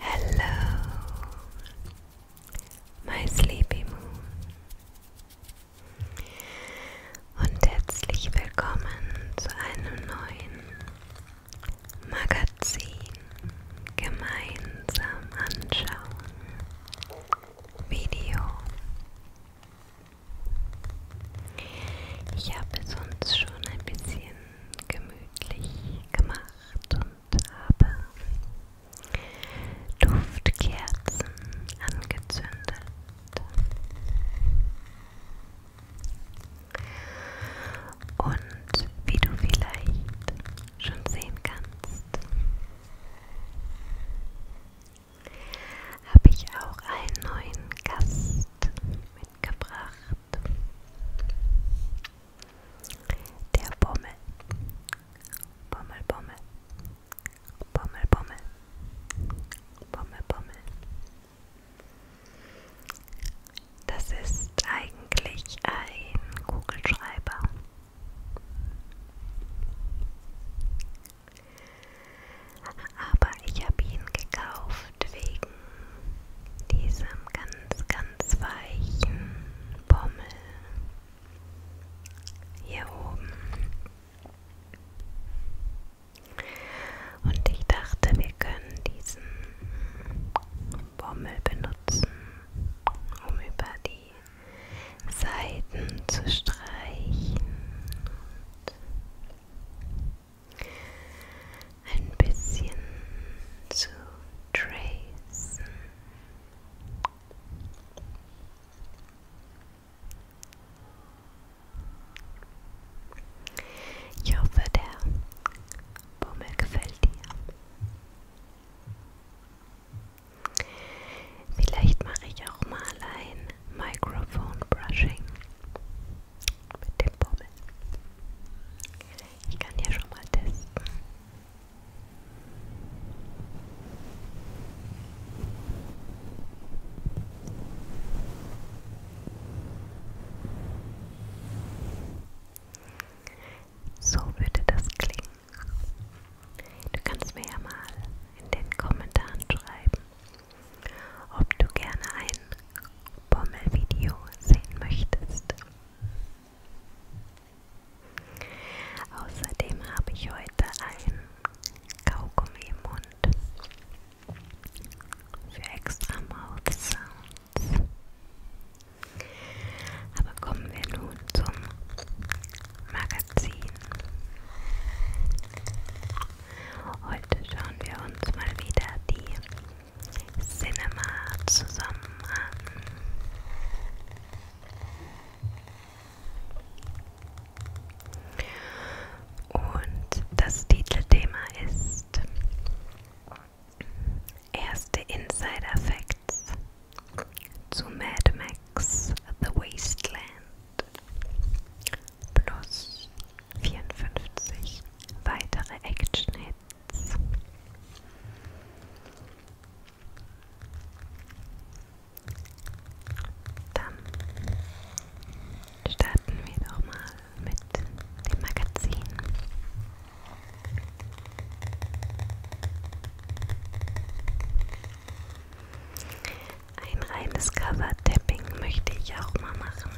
Hello, my sleepy moon, und herzlich willkommen zu einem neuen Magazin gemeinsam anschauen Video. Ich habe es uns schon ein bisschen gemütlich gemacht und habe Duftkerzen angezündet. Und wie du vielleicht schon sehen kannst, habe ich auch einen neuen Gast mitgebracht. Der Bommel. Bommel, Bommel. Bommel, Bommel. Bommel, Bommel. Das ist eigentlich ein Kugelschreiber. Aber ich habe ihn gekauft wegen diesem ganz, ganz weichen Pommel hier oben. Und ich dachte, wir können diesen Bommel benutzen, um über die Seiten zu streichen. Und ein bisschen zu tracen. Ich hoffe, der Bummel gefällt dir. Vielleicht mache ich auch mal ein Microphone Brushing mit dem Bommel. Ich kann hier schon mal testen. So würde das klingen. Du kannst mir ja mal in den Kommentaren schreiben, ob du gerne ein Bommelvideo sehen möchtest. Außerdem habe ich heute ein Kaugummi im Mund für extra Mouth Sounds. Aber kommen wir nun zum Magazin. Heute schauen wir uns mal wieder die Cinema zusammen an. Und das Titelthema ist erste Inside Effects zu Mad Max The Wasteland plus 54 weitere Action-Hits. Dann starten wir doch mal mit dem Magazin. Ein reines Cover-Tapping möchte ich auch mal machen.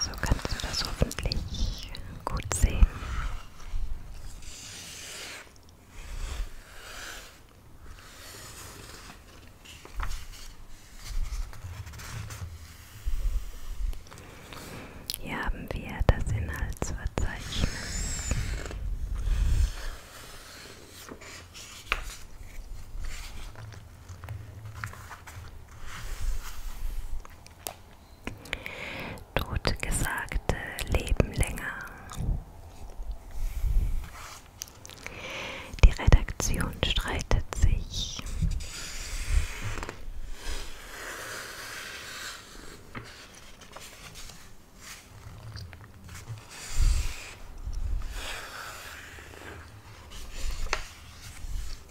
So kannst du das hoffentlich gut sehen. Hier haben wir das Inhaltsverzeichnis. Totgesagte leben länger. Die Redaktion streitet sich.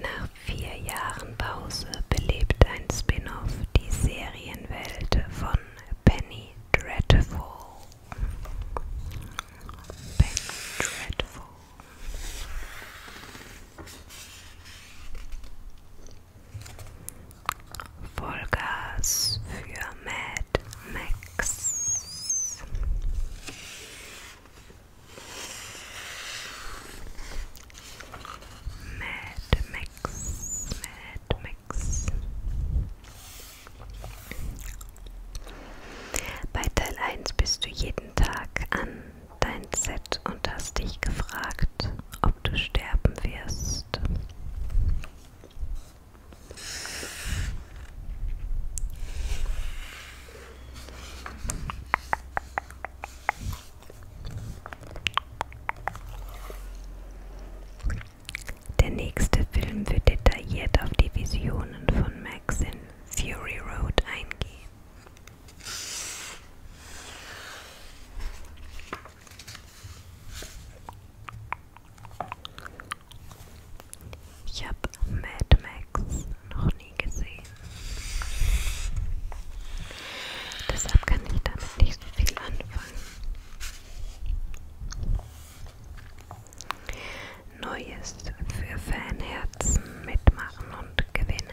Nach vier Jahren Pause belebt ein Spin-off die Serienwelt von Penny Dreadful. Penny Dreadful. Vollgas für Mad Max. Mad Max, Mad Max. Bei Teil 1 bist du jeden Tag an dein Set und hast dich gefragt, ob du sterben wirst. Der nächste Film wird detailliert auf die Visionen von Max in Fury Road eingehen. Ich habe Mad Max noch nie gesehen. Deshalb kann ich damit nicht so viel anfangen. Neues für Fanherzen mitmachen und gewinnen.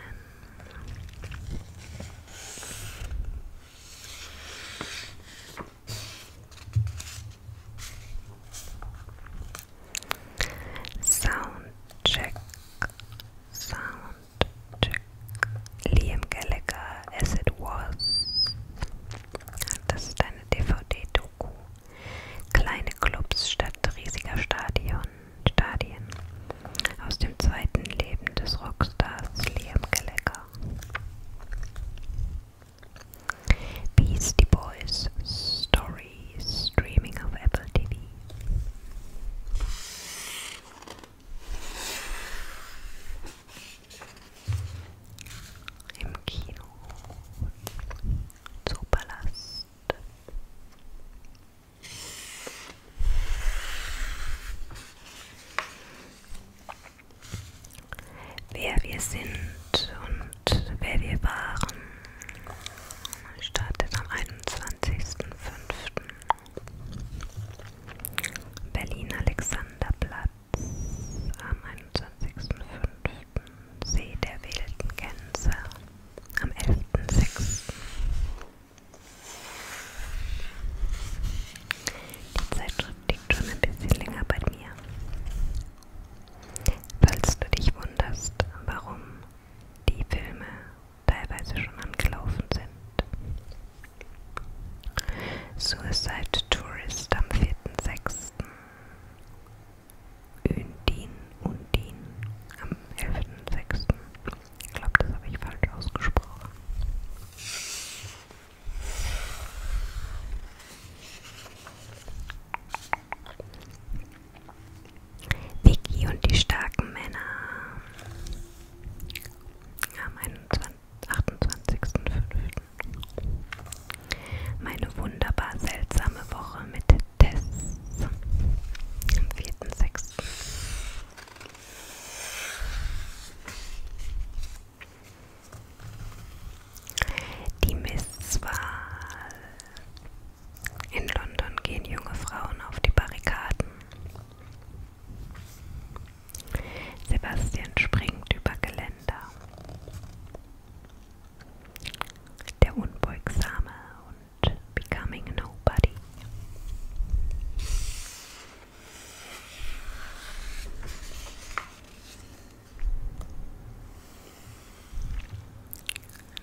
Soundcheck, Soundcheck. Liam Gallagher, As It Was. Das ist eine DVD-Doku. Kleine Clubs statt riesiger Stadion, Stadien aus dem zweiten Leben des Rockstars Liam Gallagher. Beastie Boys Story Streaming auf Apple TV. Im Kino Zoopalast Wer wir sind und wer wir waren, startet am 21.05. Berlin Alexanderplatz am 21.05. See der wilden Gänse am 11.06. Die Zeitschrift liegt schon ein bisschen länger bei mir. Falls du dich wunderst, warum die Filme teilweise schon angelaufen sind. Suicide Tourist am 4.6. Undin, Undin am 11.6. Ich glaube, das habe ich falsch ausgesprochen. Vicky und die starken Männer am 28.05. Meine wunderbar seltsame Woche mit Tess am 4.06. Die Misswahl. In London gehen junge Frauen auf die Barrikaden. Sebastian springt über Geländer. Der Unbeugsame und becoming nobody.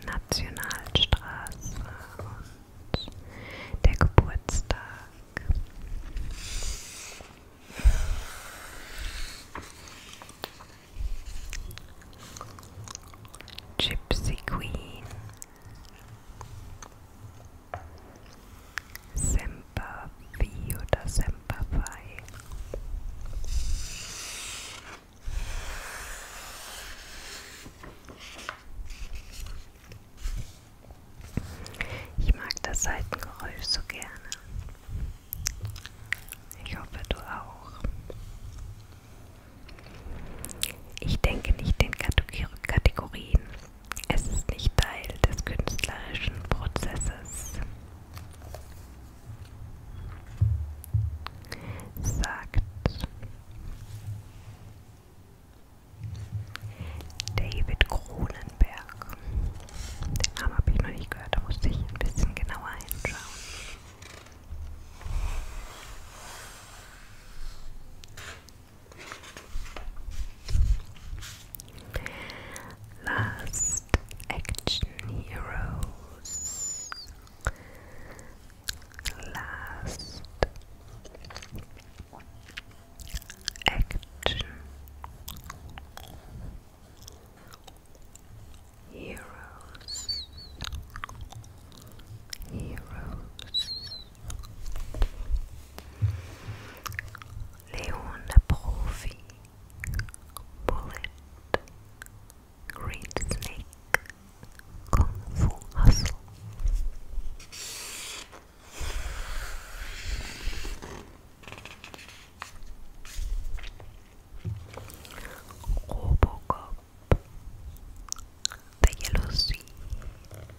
Nationalstraße und der Geburtstag. Gypsy Queen Sempervi oder Sempervi. Ich mag das Seitengeräusch so gerne. Ich hoffe, du auch. Ich denke nicht in Kategorien. Es ist nicht Teil des künstlerischen Prozesses. Sagt David Kronenberg. Den Namen habe ich noch nicht gehört, da musste ich ein bisschen genauer hinschauen. Last action heroes. Last action heroes. Heroes. Leon Profi, Bullet, Green Snake, Kung Fu Hustle. Robocop the Yellow Sea,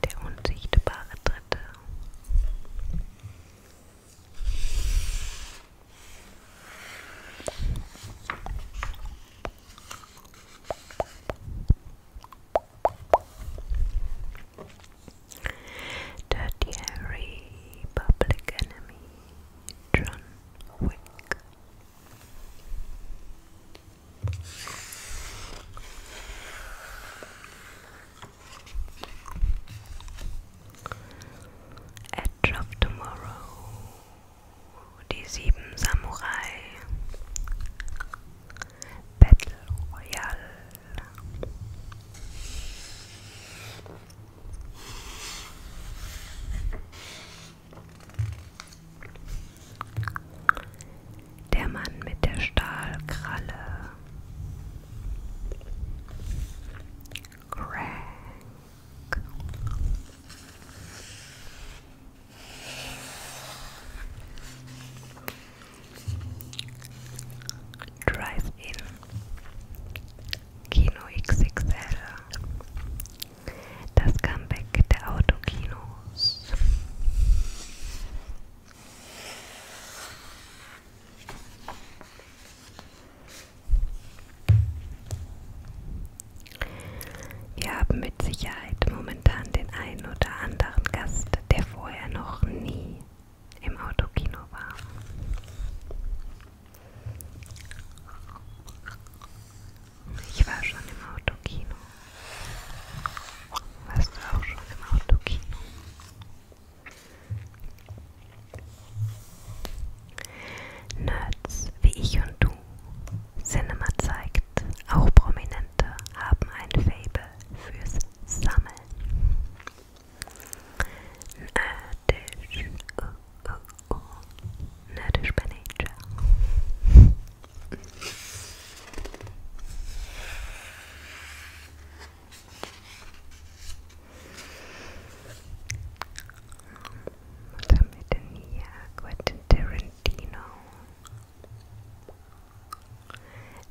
der er unsichtbare Dritte. Er Dirty Harry, Public Enemy, John Wick, Edge of Tomorrow, die sieben Samurai, Battle Royale. Der Mann mit der Stahlkralle. Crank. Drive-In. Kino XXL. Das Comeback der Autokinos. Wir haben mit Sicherheit momentan den einen oder anderen Gast, der vorher noch nie im Autokino war. Ich war schon im Autokino. Warst du auch schon im Autokino? Nerds wie ich und du, Cinema zeigt, auch Prominente haben ein Fable fürs Sammeln. Nerdisch, oh, oh, or nourished by nature. Was haben wir denn hier? Quentin Tarantino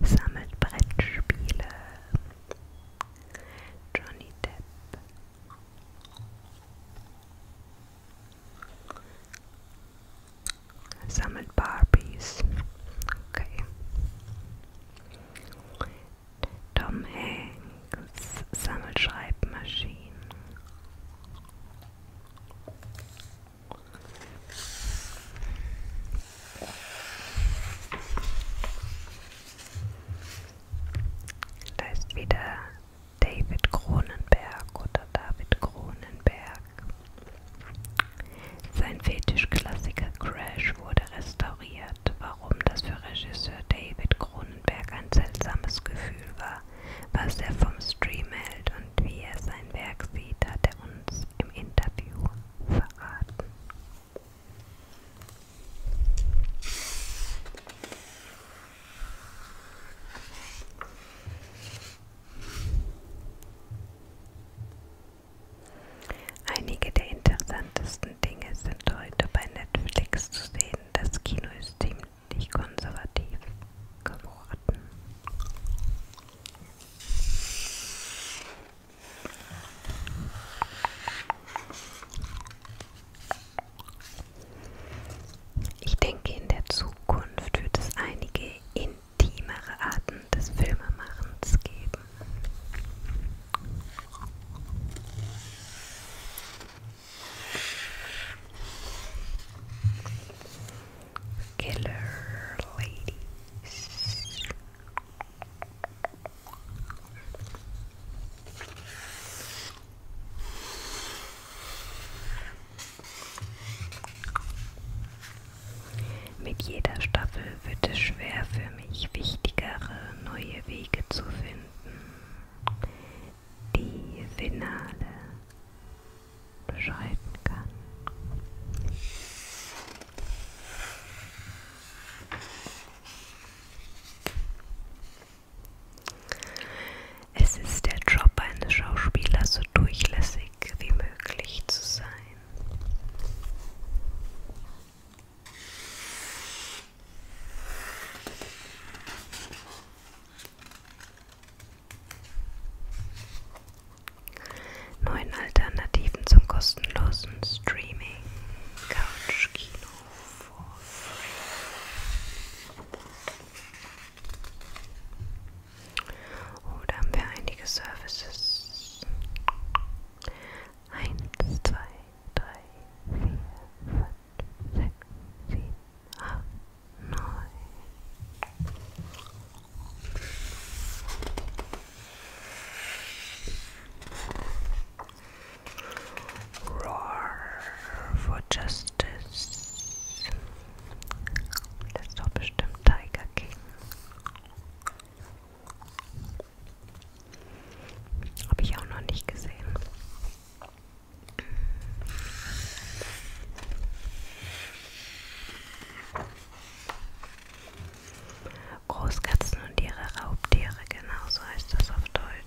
sammelt Brettspiele. Johnny Depp Sammelt Barbies. Okay. Tom Hanks sammelt Schreibmaschinen. Da ist wieder David Cronenberg oder David Cronenberg. Sein Fetischklassiker Crash wurde restauriert, warum das für Regisseur David Cronenberg ein seltsames Gefühl war, was er vom Stream hält und wie er sein Werk sieht, hat er uns im Interview verraten. Einige der interessantesten Dinge sind heute bei Netflix zu sehen. Das Kino ist ziemlich konservativ geworden. Ich denke, in der Zukunft wird es einige intimere Arten des Filmemachens geben. Killer Ladies. Mit jeder Staffel wird es schwer für mich, wichtigere neue Wege zu finden. Die Finale beschreiten kann. Es ist der Job eines Schauspielers, so durchlässig wie möglich zu sein. Neun Alternativen zum kostenlosen Streaming, Couch, Kino, vor. Oh, da haben wir einige Services. Eins, zwei, drei, vier, fünf, sechs, sieben, acht, neun. Roar for Justice. Das ist doch bestimmt Tiger King. Habe ich auch noch nicht gesehen. Großkatzen und ihre Raubtiere, genau so heißt das auf Deutsch.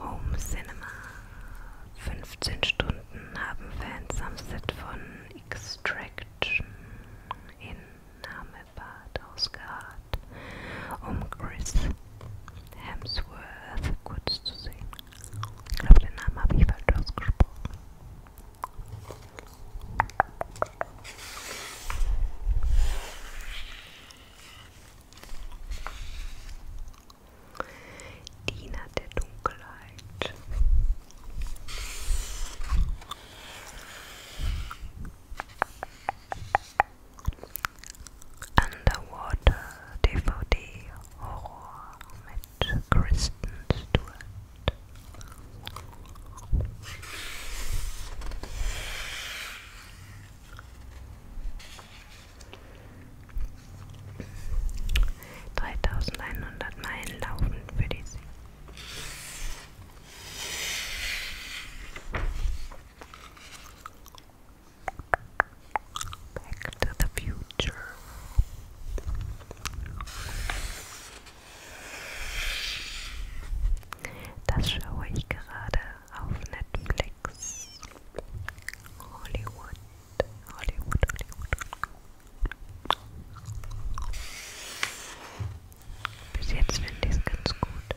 Home Cinema. 15 Stunden haben Fans am Set von Extraction in Namibad ausgeharrt, um Chris Hemsworth kurz zu sehen. Ich glaube, den Namen habe ich falsch ausgesprochen. Diener der Dunkelheit. Underwater DVD Horror mit Kristen Stewart. 3100 Meilen laufen für die See. Back to the future. Das schaue ich gerade auf Netflix. Netflix. Hollywood. Hollywood, Hollywood. Bis jetzt finde ich es ganz gut.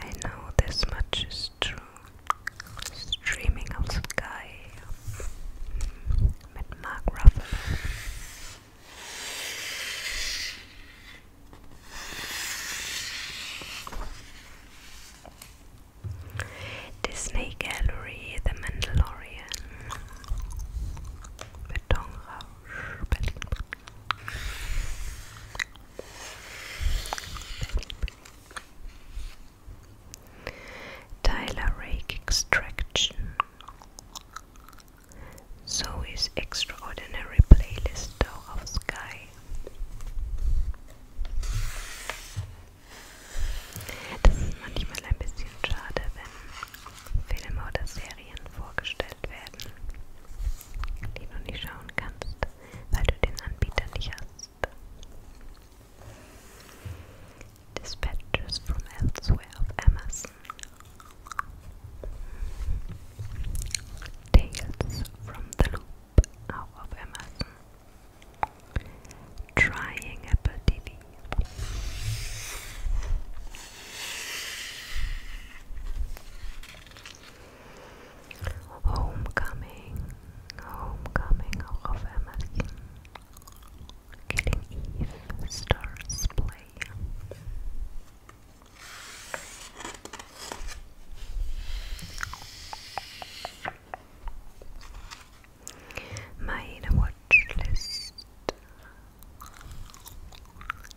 I know this much is true. Streaming of Sky mit Mark Ruffalo. Disney Gallery, The Mandalorian, Betonrausch, Tyler Rake Extraction So ist Extraordinary Playlist auch auf Sky. Das ist manchmal ein bisschen schade, wenn Filme oder Serien vorgestellt werden, die du nicht schauen kannst, weil du den Anbieter nicht hast. Dispatches from Elsewhere of Amazon. Tales from the Loop out of Amazon. Trying Apple TV. Homecoming, Homecoming auch auf Amazon. Killing Eve, Stars Play. Meine Watchlist.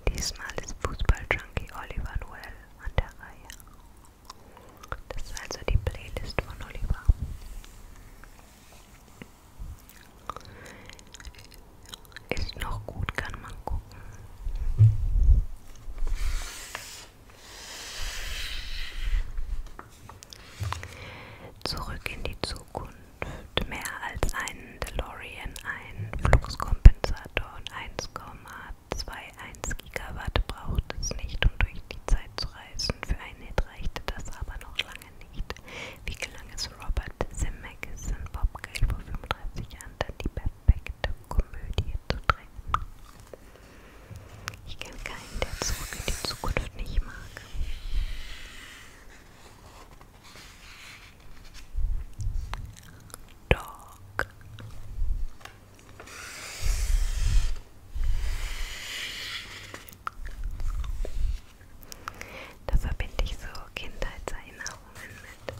Diesmal ist Fußballjunkie Oliver Noel an der Reihe. Das ist also die Playlist von Oliver. Ist noch gut, kann man gucken. Zurück in die Zukunft. Mehr als einen DeLorean, einen Fluxkompensator und 1,21 Gigawatt braucht es nicht, um durch die Zeit zu reisen. Für einen reichte das aber noch lange lange nicht. Wie gelang es Robert Zemeckis und Bob Gale vor 35 Jahren, dann die perfekte Komödie zu drehen? Ich kenne keinen, der zurück in die Zukunft nicht mag. Dog. Da verbinde ich so Kindheitserinnerungen mit.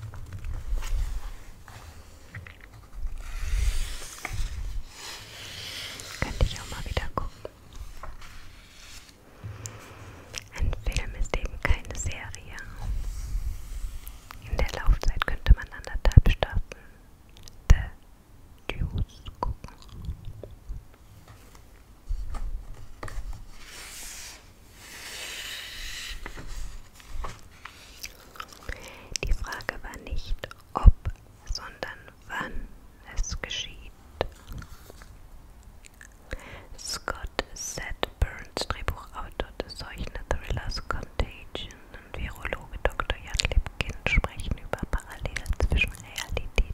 Könnte ich auch mal wieder gucken. Ein Film ist eben keine Serie. In der Laufzeit könnte man anderthalb Staffeln The Deuce gucken. Die Frage war nicht ob, sondern wann es geschieht. Scott Seth Burns, Drehbuchautor des solchen Thrillers Contagion und Virologe Dr. Jan Lipkin sprechen über Parallelen zwischen Realität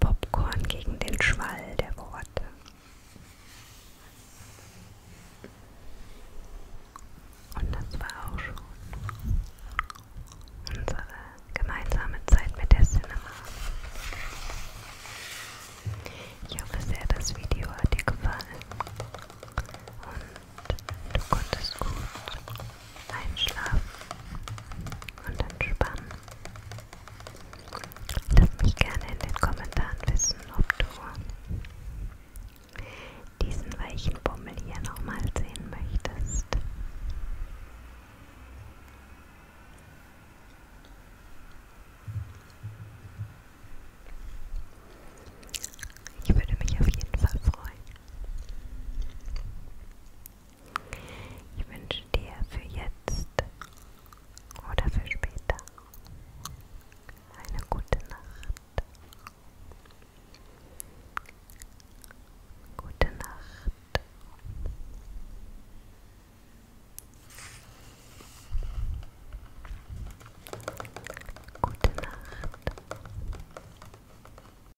Popcorn gegen den Schwall der Worte. Und das war auch schon unsere gemeinsame Zeit mit der Cinema. Ich hoffe sehr, das Video hat dir gefallen und du konntest gut einschlafen und entspannen. Lass mich gerne in den Kommentaren wissen, ob du diesen weichen Bummel hier nochmal sehen möchtest. Ich würde mich auf jeden Fall freuen. Ich wünsche dir für jetzt oder für später eine gute Nacht. Gute Nacht. Gute Nacht.